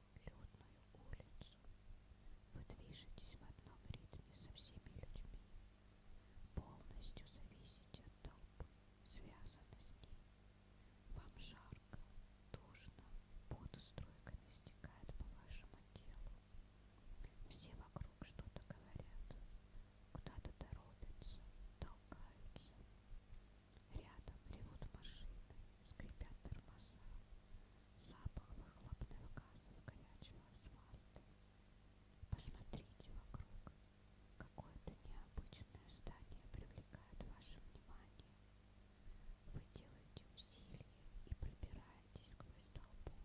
людную улицу. Вы движетесь в одном ритме со всеми людьми. Полностью зависите от толпы, связаны с ней. Вам жарко, душно, пот струйками стекает по вашему телу. Все вокруг что-то говорят, куда-то торопятся, толкаются. Рядом ревут машины, скрипят тормоза. Запах выхлопных газов горячего асфальта. Посмотрите вокруг. Какое-то необычное здание привлекает ваше внимание. Вы делаете усилия и пробираетесь сквозь толпу.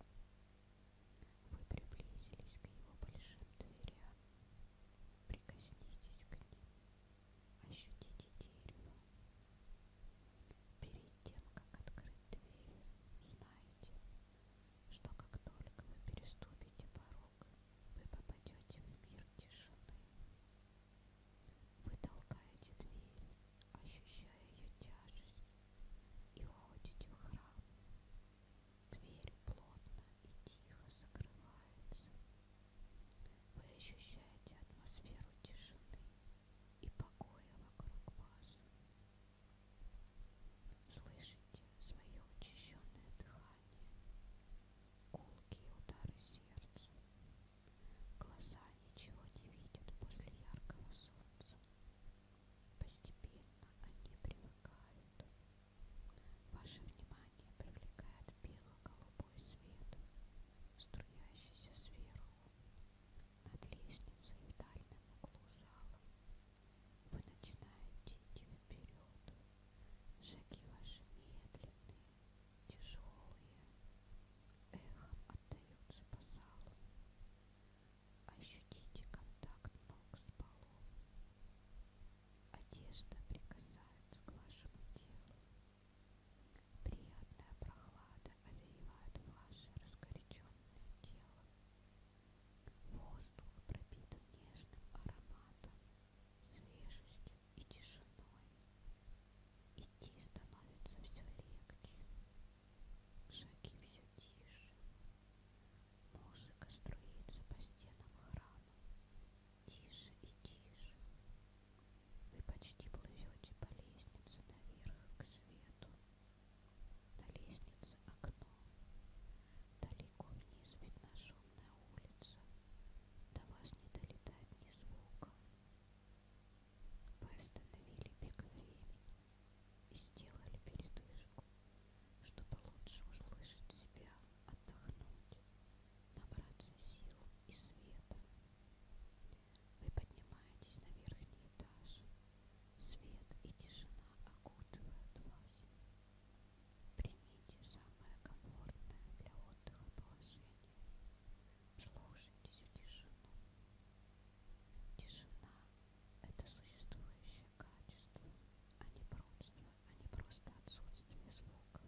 Вы приблизились к его большим дверям. Прикоснитесь к ним. Ощутите дерево. Перед тем, как открыть дверь, знайте, что как только вы переступите порог, вы попадете в мир тишины. Вы толкаете дверь, ощущая ее тяжесть, и уходите в храм, Двери плотно и тихо закрываются. Вы ощущаете атмосферу тишины и покоя вокруг вас. Слышите свое учащенное дыхание, гулкие удары сердца. Глаза ничего не видят после яркого солнца. Постепенно они привыкают. Ваше внимание привлекает бело-голубой свет, струящийся сверху, над лестницей в дальнем углу зала. Вы начинаете идти вперед. Шаги ваши медленные, тяжелые, эхом отдаются по залу. Ощутите контакт ног с полом. Одежда прикасается к вашему телу. Приятная прохлада овеивает ваше раскоряченное тело. Воздух пропитан нежным ароматом, свежестью и тишиной. Идти становится все легче. Шаги все тише. Музыка струится по стенам храма. Тише и тише. Вы почти плывете по лестнице наверх к свету. На лестнице окно. Далеко вниз видна шумная улица. До вас не долетает ни звука. Вы остановили бег времени и сделали передышку, чтобы лучше услышать себя, отдохнуть, набраться сил и света. Вы поднимаетесь на верхний этаж. Свет и тишина окутывают вас. Примите самое комфортное для отдыха положение. Слушайте всю тишину. Тишина это существующее качество, а не просто, а не просто отсутствие звука.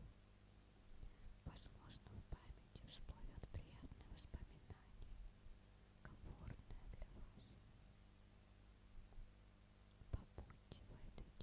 Возможно, в памяти всплывет приятное воспоминание, комфортное для вас. Побудьте в этой тишине. Отдыхайте.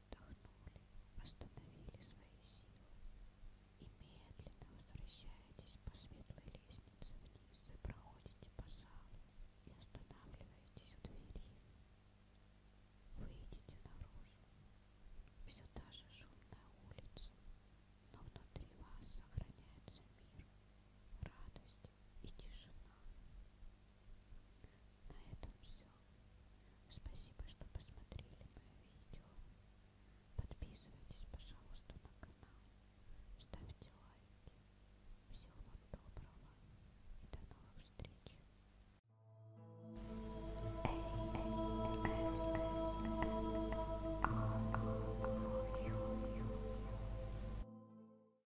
отдохнули, восстановили свои силы и медленно возвращаетесь по светлой лестнице вниз и проходите по залу и останавливаетесь у двери. Выйдите наружу. Все та же шумная улица, но внутри вас сохраняется мир, радость и тишина. На этом все. Спасибо, что посмотрели мое видео. Подписывайтесь, пожалуйста, на канал. Ставьте лайки. Всего вам доброго и до новых встреч.